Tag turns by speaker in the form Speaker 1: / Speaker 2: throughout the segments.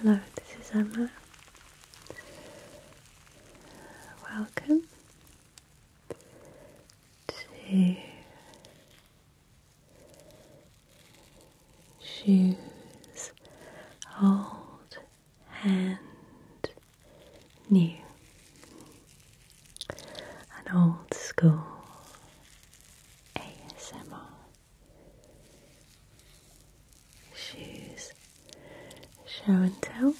Speaker 1: Hello, this is Emma. Welcome to Shoes Old and new, an old school ASMR. Shoes, show and tell.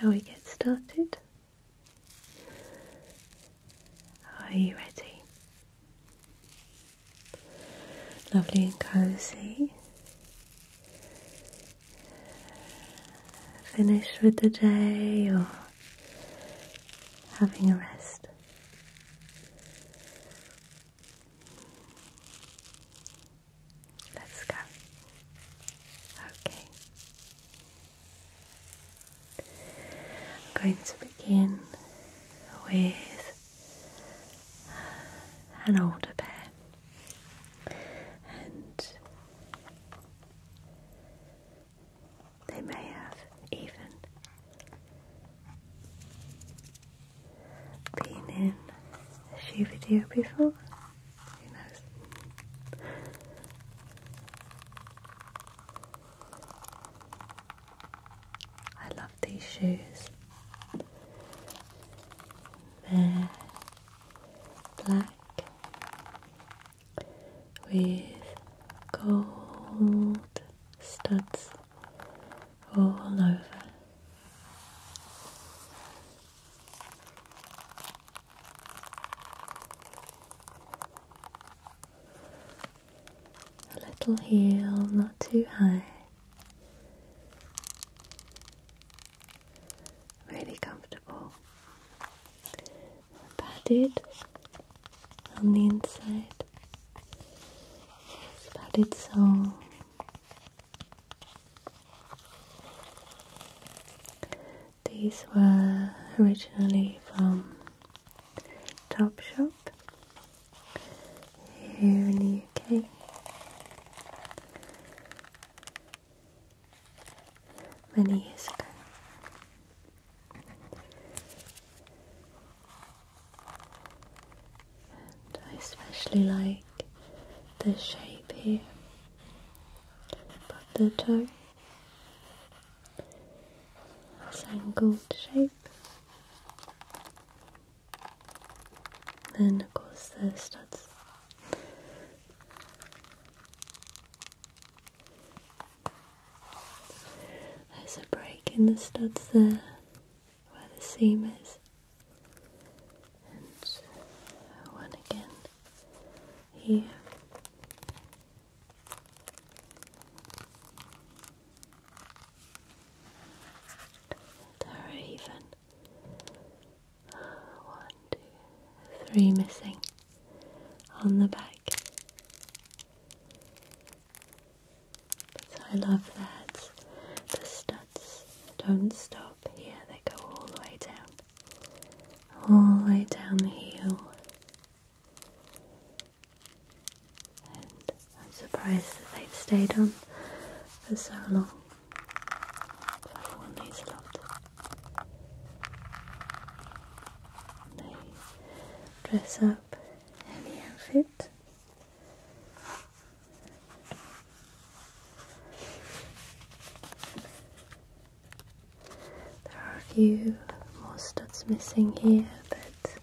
Speaker 1: Shall we get started? Are you ready? Lovely and cozy. Finished with the day or having a rest? Let's go. Okay. I'm going to begin with an older pair, and they may have even been in a shoe video before. I love these shoes. They're black with gold studs all over. A little heel, not too high. Really comfortable. Padded on the inside. It's padded sole. These were originally from Topshop here in the UK. Many years ago. And I especially like the shape here, but the toe. Shangled shape. Then of course the studs. There's a break in the studs there where the seam is. And one again here. There are even uh, one, two, three missing on the back. But I love that the studs don't stop here, they go all the way down all the way down the hill, And I'm surprised that they've stayed on for so long. I've these a lot. They dress up any outfit. There are a few more studs missing here, but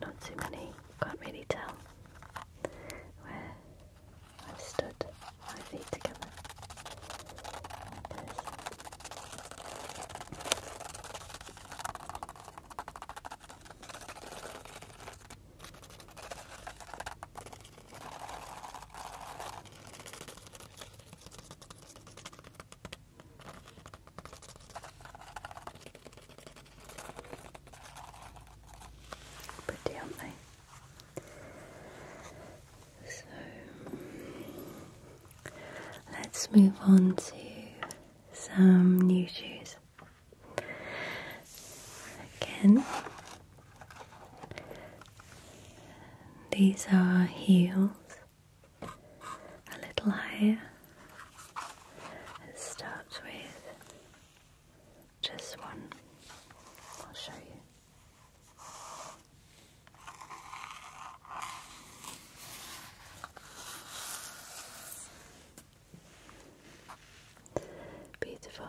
Speaker 1: not too many. Can't really tell where I've stood my feet together. Pretty, aren't So let's move on to some new shoes. Again, these are heels, a little higher. It starts with just one. I'll show you. Beautiful.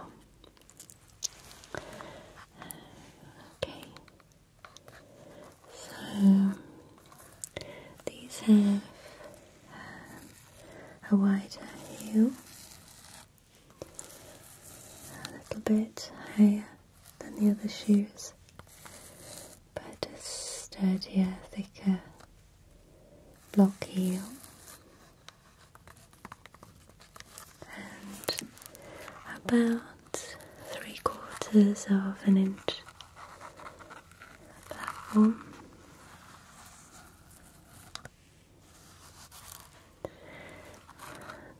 Speaker 1: Okay. So these have uh, a wider heel, a little bit higher than the other shoes, but a sturdier, thicker block heel and about three quarters of an inch platform.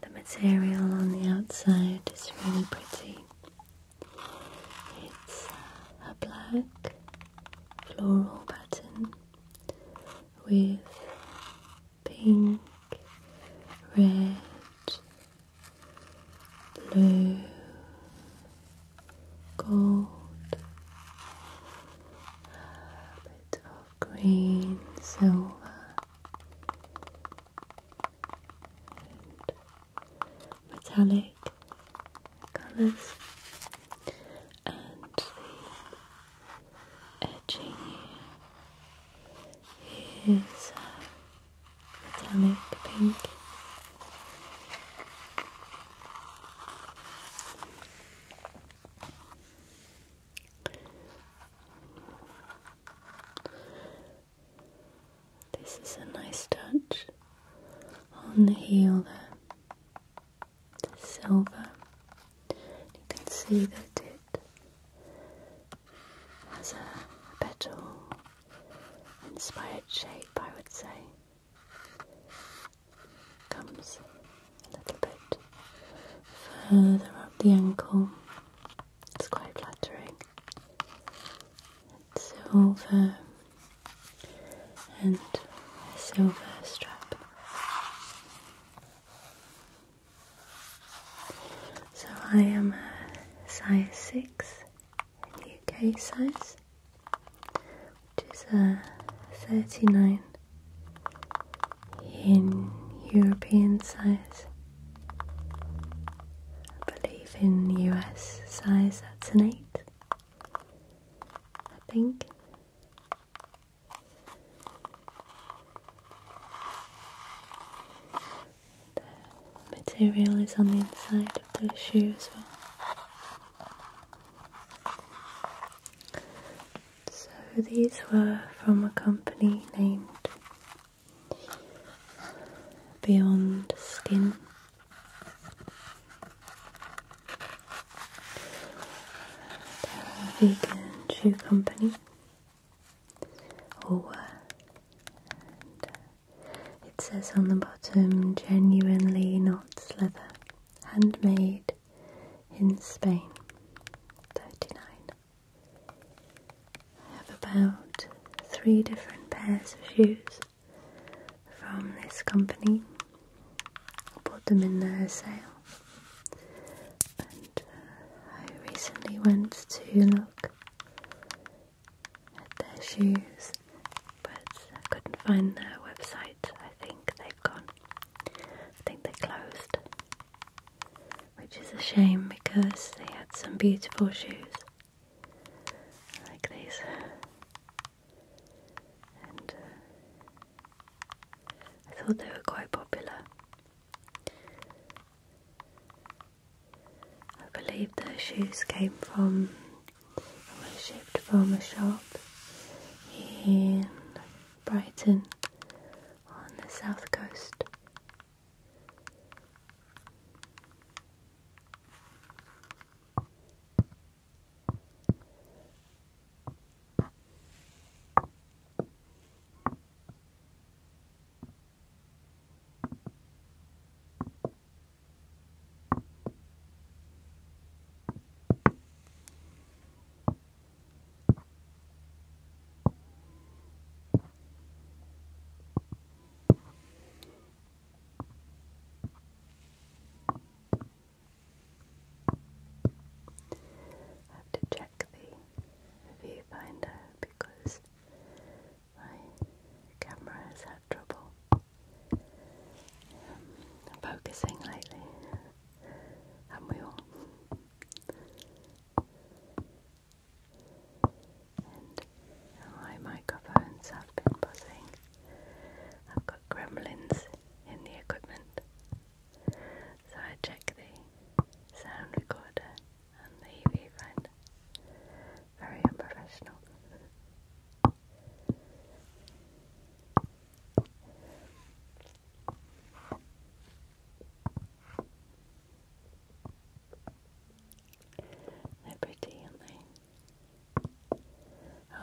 Speaker 1: The material on the outside is really pretty. It's a black floral pattern with pink, red, blue, gold, a bit of green, silver, metallic colours, and the edging is metallic pink. This is a nice touch on the heel there. It's silver. You can see that it has a petal inspired shape, I would say. Comes a little bit further up the ankle. It's quite flattering. It's silver and silver strap. So I am a size 6 UK size, which is a 39 in European size. I believe in US size that's an 8, I think. The material is on the inside of the shoe as well. So these were from a company named Beyond Skin. vegan shoe company. Owa. And uh, it says on the bottom, genuinely not leather, handmade in Spain. 39. I have about three different pairs of shoes from this company. I bought them in their sale uh, I recently went to look at their shoes, but I couldn't find their website. I think they've gone. I think they closed, which is a shame because they had some beautiful shoes like these. Uh, I thought they were quite popular, I believe those shoes came from, shipped from a shop in Brighton on the south coast. I have to check the a viewfinder because my camera has had trouble focusing lately, and we all? And my microphones have been buzzing. I've got gremlins in the equipment. So I check the sound recorder and the viewfinder. Very unprofessional. They're pretty, aren't they?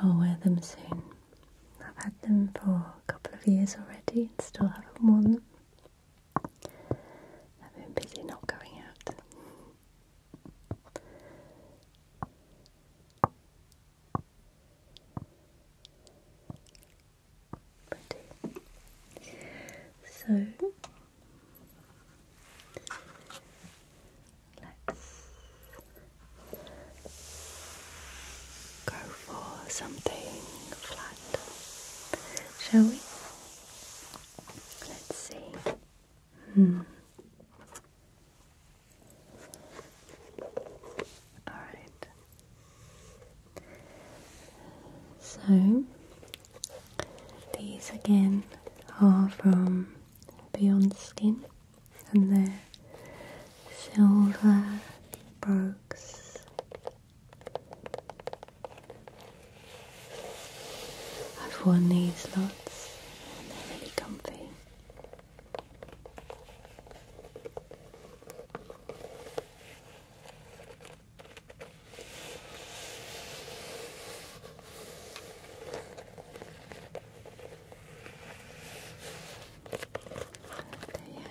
Speaker 1: I'll wear them soon. I've had them for a couple of years already and still haven't worn them. I've been busy not going out. So let go for something flat, shall we? Let's see. Hmm. Alright. So, these again are from Beyond Skin and they're silver brogues I've worn these lots and they're really comfy.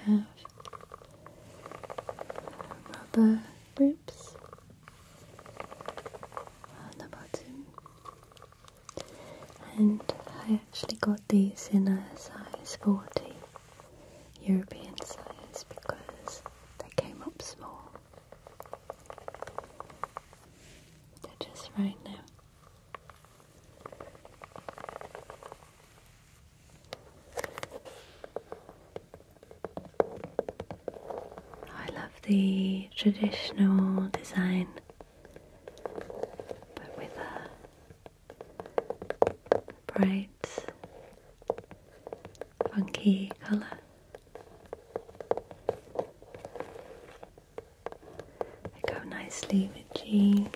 Speaker 1: There have rubber grips on the bottom. And I actually got these in a size 40 European size because they came up small. They're just right now. I love the traditional design, but with a bright, funky colour. They go nicely with jeans.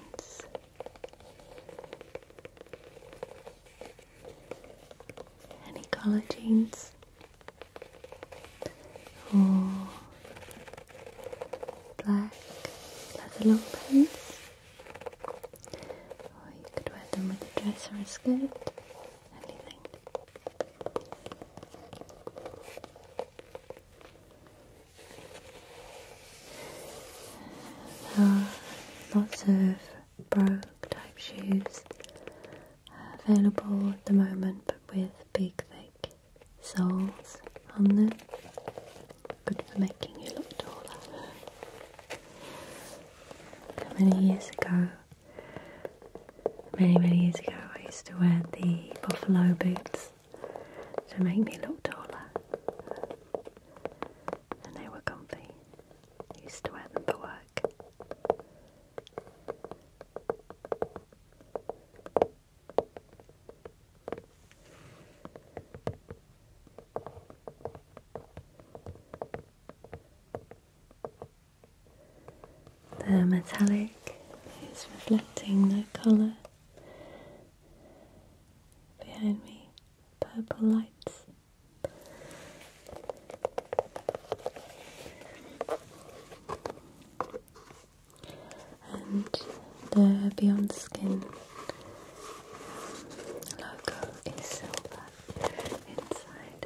Speaker 1: Any color jeans or black leather long pants, or you could wear them with a dress or a skirt, anything. Uh, lots of brogue type shoes available at the moment but with big thick soles on them. Good for making you look taller. Many years ago, many many years ago I used to wear the buffalo boots to make me look taller. And they were comfy. used to wear them for work. The metallic is reflecting the colour behind me, purple lights. And the Beyond Skin logo is silver inside.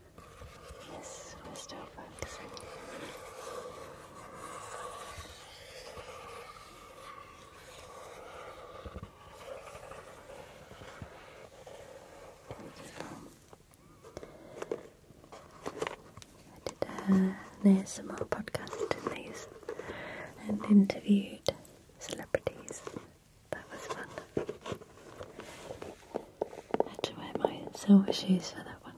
Speaker 1: Yes, i I did uh, a ASMR podcast in these and interviewed celebrities that was fun. I had to wear my silver shoes for that one.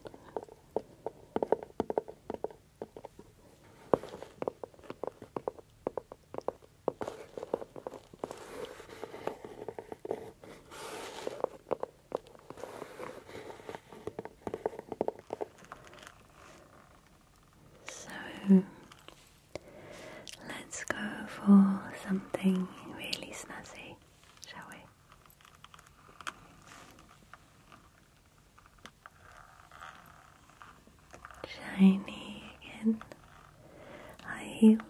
Speaker 1: So Let's go for something really snazzy, shall we? Shiny again, high heels,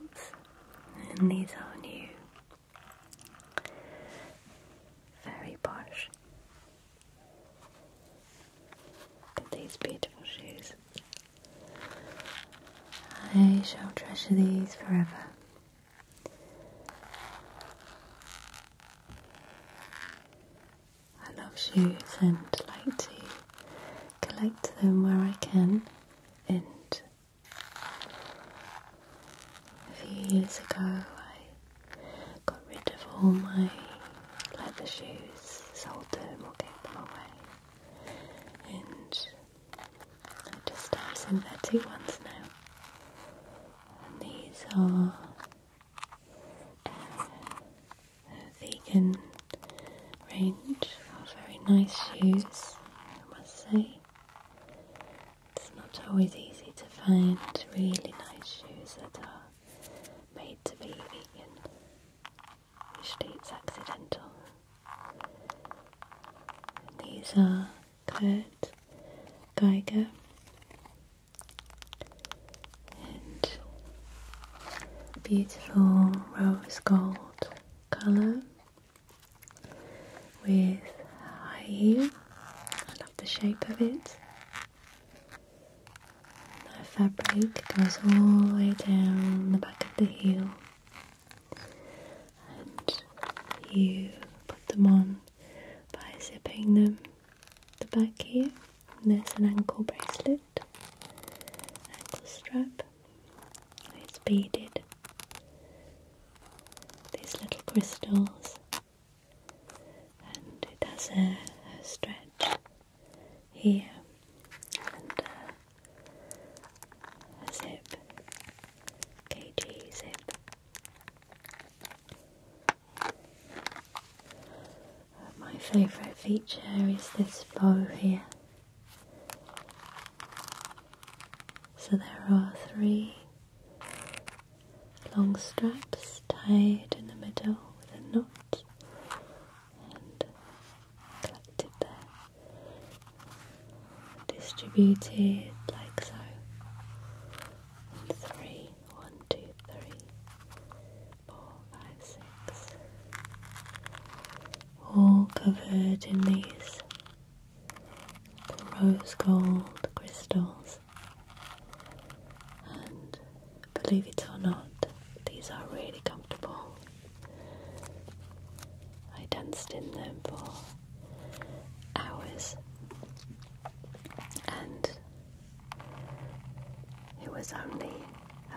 Speaker 1: and these are new, very posh. Look at these beautiful shoes. I shall treasure these forever. I love shoes and like to collect them where I can. And a few years ago, I got rid of all my leather shoes, sold them or gave them away, and I just have some synthetic ones now. And these are uh, vegan range very nice shoes, I must say. It's not always easy to find really nice shoes that are made to be vegan. Usually it's accidental. these are Kurt Geiger and beautiful rose gold colour with high heel. I love the shape of it. The fabric goes all the way down the back of the heel and you put them on by zipping them the back here. And there's an ankle bracelet, ankle strap, it's beaded. These little crystals, and it has a stretch here and uh, zip kg zip my favourite feature is this bow here so there are three long straps tied in the middle with a knot and collected there, distributed like so. three, one, two, three, four, five, six, all covered in these rose gold crystals. And believe it or not, these are really comfortable. I danced in them for hours, and it was only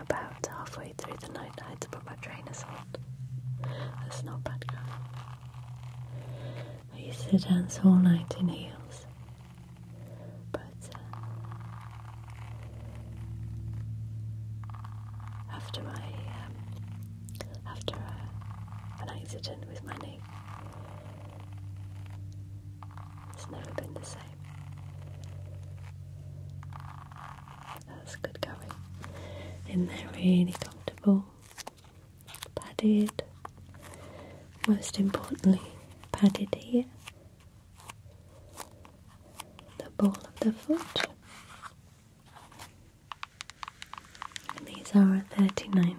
Speaker 1: about halfway through the night I had to put my trainers on. That's not bad, girl. I used to dance all night in heels, but uh, after my um, after uh, an accident with my knee. It's never been the same. That's good going. In there, really comfortable, padded. Most importantly, padded here the ball of the foot. These are 39.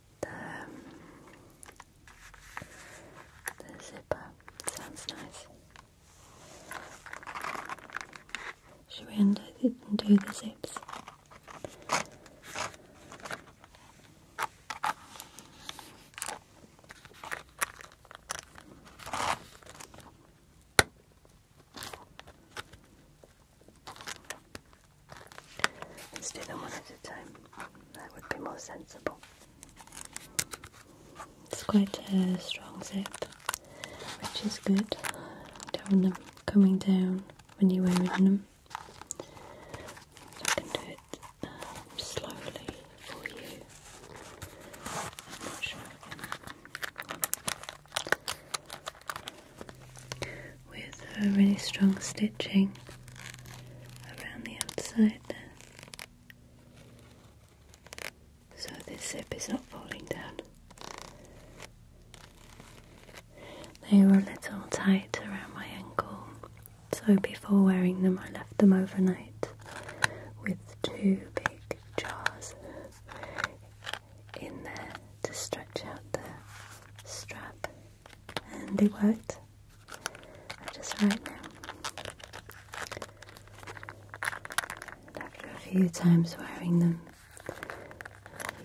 Speaker 1: the, zipper. Sounds nice. Should we undo the, undo the zips? Instead, us one at a time. That would be more sensible. It's quite a strong zip, which is good. Don't want them coming down when you're wearing them. I can do it um, slowly for you with really strong stitching around the outside there. So this zip is not falling down. They were a little tight around my ankle, so before wearing them, I left them overnight with two big jars in there to stretch out the strap and they worked. I just right now. And after a few times wearing them,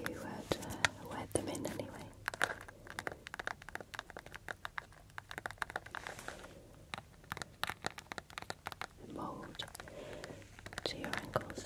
Speaker 1: you had uh, wet them in anyway. Mold to your ankles.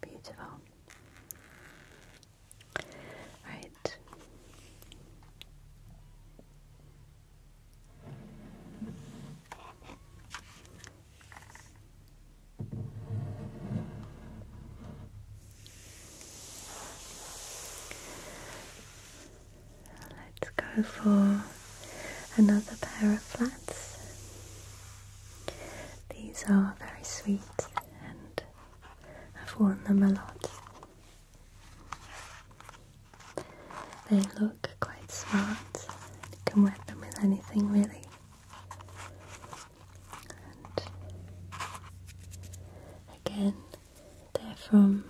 Speaker 1: Beautiful. All right. Let's go for another pair of flats. These are very sweet and I've worn them a lot. They look quite smart. You can wear them with anything really. And again, they're from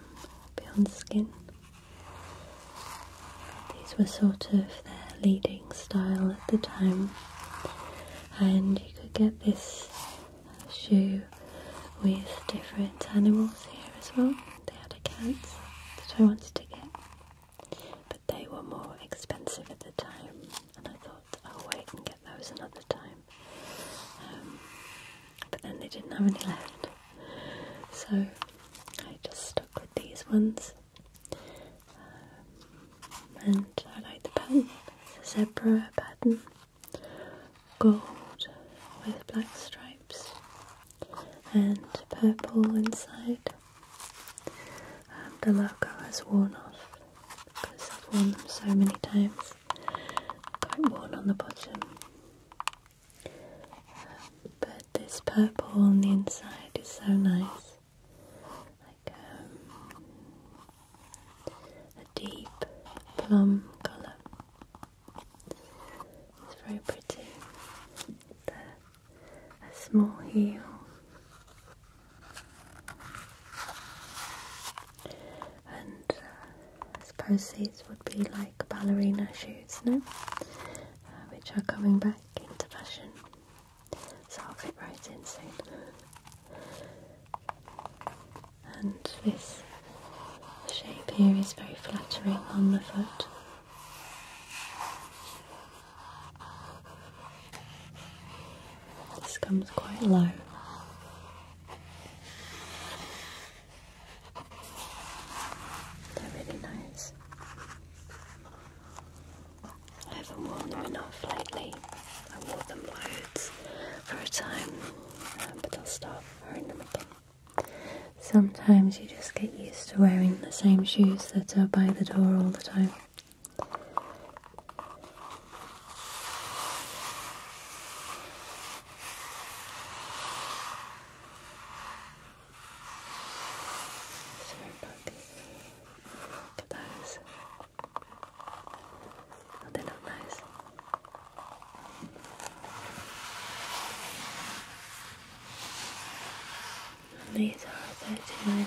Speaker 1: Beyond Skin. These were sort of their leading style at the time, and you could get this shoe with different animals here as well. They had a cat that I wanted to get, but they were more expensive at the time, and I thought "Oh, will wait and get those another time. Um, but then they didn't have any left so I just stuck with these ones. Um, and I like the pattern, it's a zebra pattern, gold with black stripes and purple inside. Um, the logo has worn off because I've worn them so many times, got worn on the bottom but this purple on the inside is so nice. Like um, a deep plum colour. It's very pretty. a small heel. And uh, as proceeds would be like ballerina shoes now, uh, which are coming back into fashion. So I'll fit right in soon. And this shape here is very flattering on the foot. This comes quite low. They're really nice. I haven't worn them enough lately. I wore them loads for a time, um, but I'll stop wearing them again. Sometimes you just get used to wearing the same shoes that are by the door all the time. Sorry about the, the eyes. No, they're nice. these are 13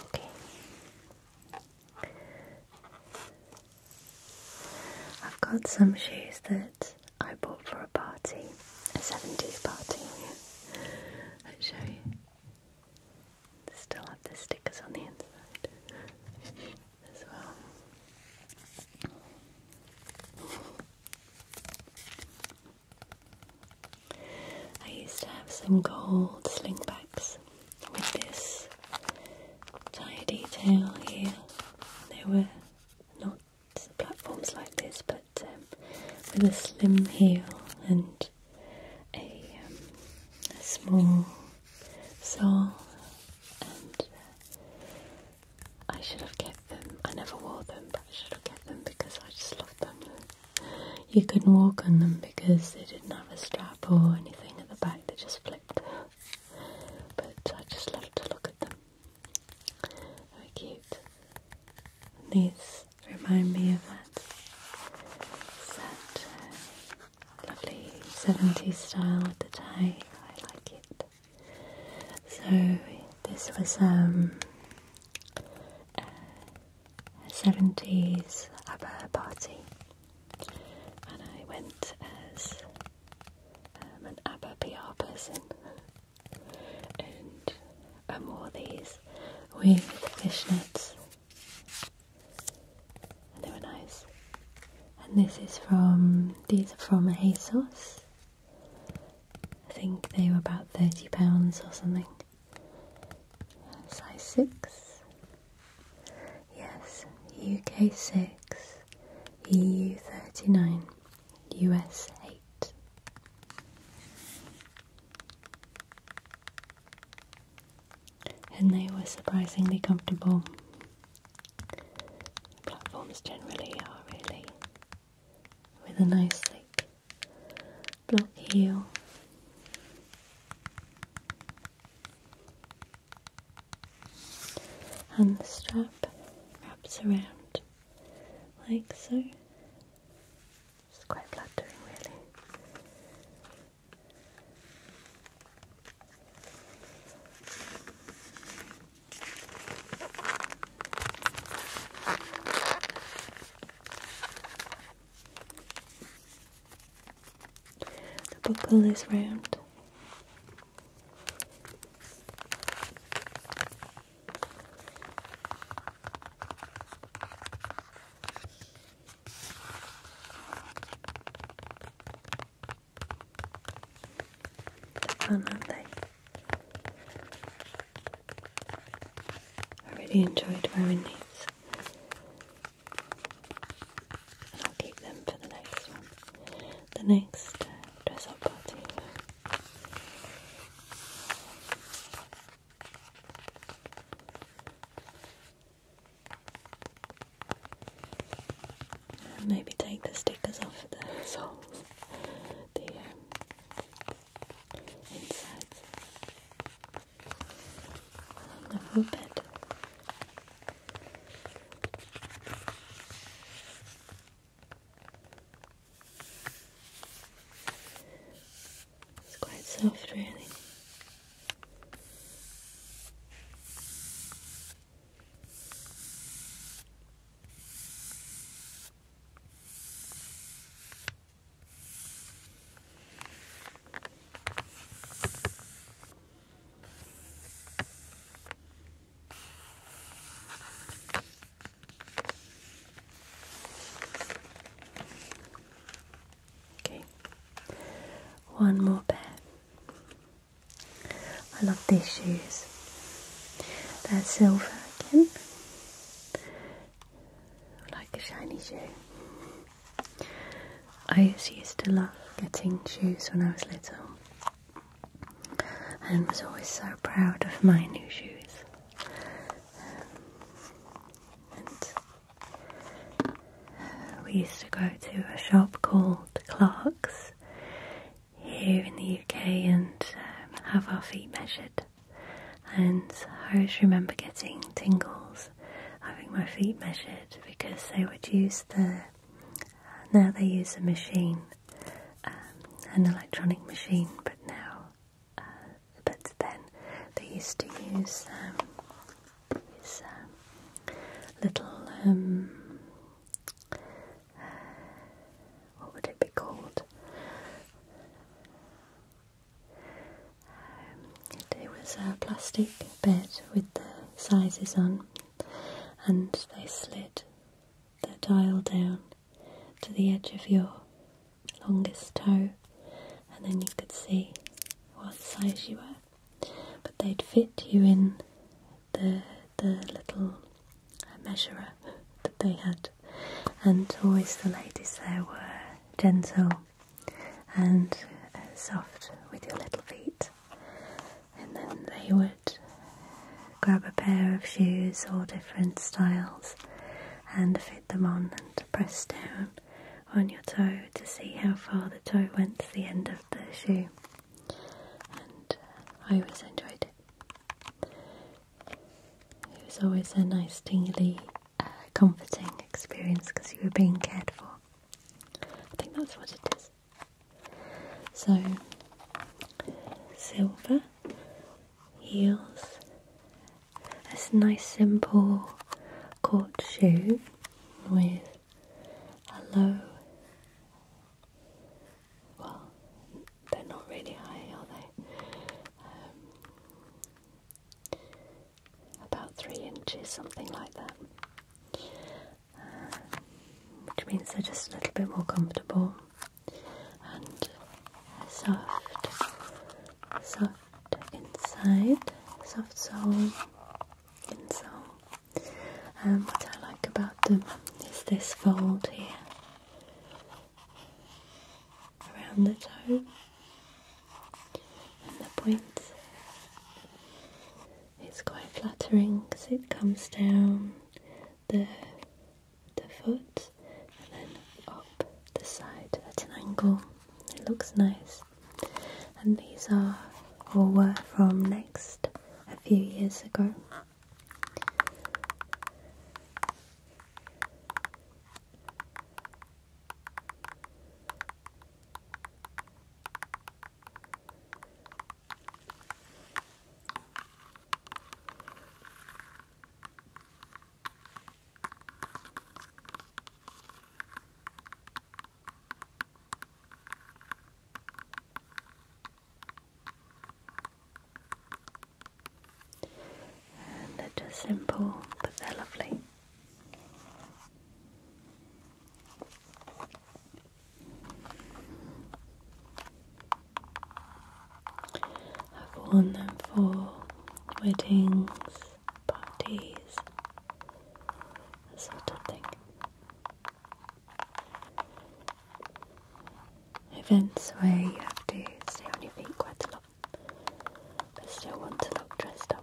Speaker 1: Okay. I've got some shoes that I bought for a party, a 70s party. I'll show you. Still have the stickers on the inside as well. I used to have some gold slingbacks with this tie detail here. They were not platforms like this, but um, with a slim heel and a um, small so, uh, I should have kept them. I never wore them, but I should have kept them because I just loved them. You couldn't walk on them because they didn't have a strap or anything at the back, they just flipped. But I just love to look at them. Very cute. These remind me of that Lovely 70s style with the tie. I like it. So this was um, a uh, 70s ABBA party, and I went as um, an ABBA PR person, and I wore these with fishnets they were nice. And this is from these are from ASOS. I think they were about thirty pounds or something. Size six. Yes, UK six, EU thirty nine, US eight. And they were surprisingly comfortable. Platforms generally are really with a nice thick block heel. And the strap wraps around like so. It's quite flattering, really. The buckle is round. I really enjoyed wearing these. And I'll keep them for the next one. The next uh, dress up party. Maybe take the stickers off the soles, the um, whole bed. It's quite soft, really. Okay, one more bed. I love these shoes. They're silver again. Like a shiny shoe. I used to love getting shoes when I was little and was always so proud of my new shoes. Uh, we used to go to a shop called the clocks here in the UK and um, have our feet measured. And I always remember getting tingles having my feet measured because they would use the now they use a machine, um, an electronic machine, but now, uh, but then they used to use um, these um, little um, what would it be called? Um, it was a plastic bed with the sizes on, and they slid the dial down to the edge of your longest toe, and then you could see what size you were but they'd fit you in the the little measurer that they had, and always the ladies there were gentle and uh, soft with your little feet, and then they would grab a pair of shoes or different styles and fit them on and press down on your toe to see how far the toe went to the end of of the shoe, and uh, I always enjoyed it. It was always a nice, tingly, uh, comforting experience because you were being cared for. I think that's what it is. So, silver heels. It's a nice, simple court shoe with Hello. Well, they're not really high, are they? Um, about three inches, something like that. Uh, which means they're just a little bit more comfortable and soft, soft inside, soft sole, insole. And um, what I like about them is this fold here around the toe and the point is quite flattering because it comes down the, the foot and then up the side at an angle. It looks nice and these are all were from Next a few years ago they're just simple, but they're lovely. I've worn them for weddings, parties, that sort of thing. Events where you have to stay on your feet quite a lot, but still want to look dressed up.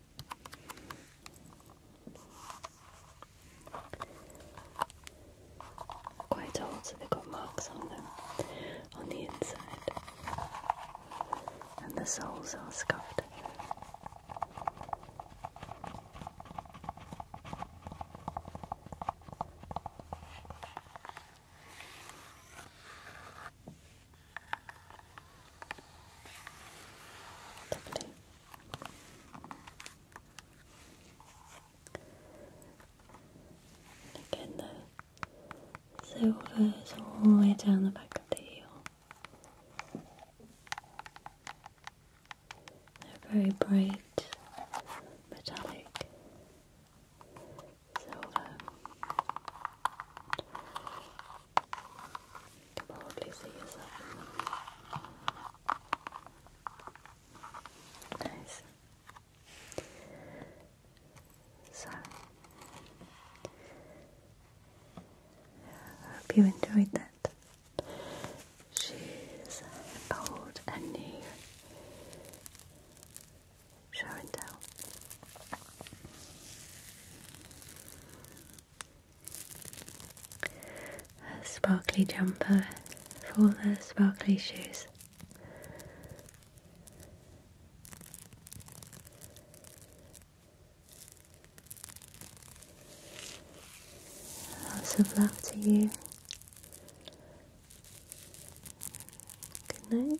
Speaker 1: Quite old, so they've got marks on them on the inside, and the soles are scuffed. Again, the silver all the way down the back of the heel. They're very bright, metallic silver can probably see yourself in Nice. So, I hope you enjoyed that. She's uh, bold and new. Show and tell a sparkly jumper for the sparkly shoes. Lots of love to you. Good night.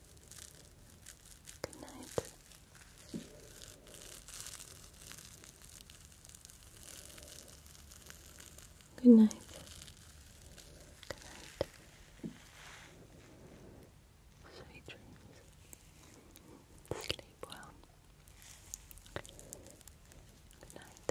Speaker 1: Good night. Good night. Good night. Sweet dreams. Sleep well. Good night.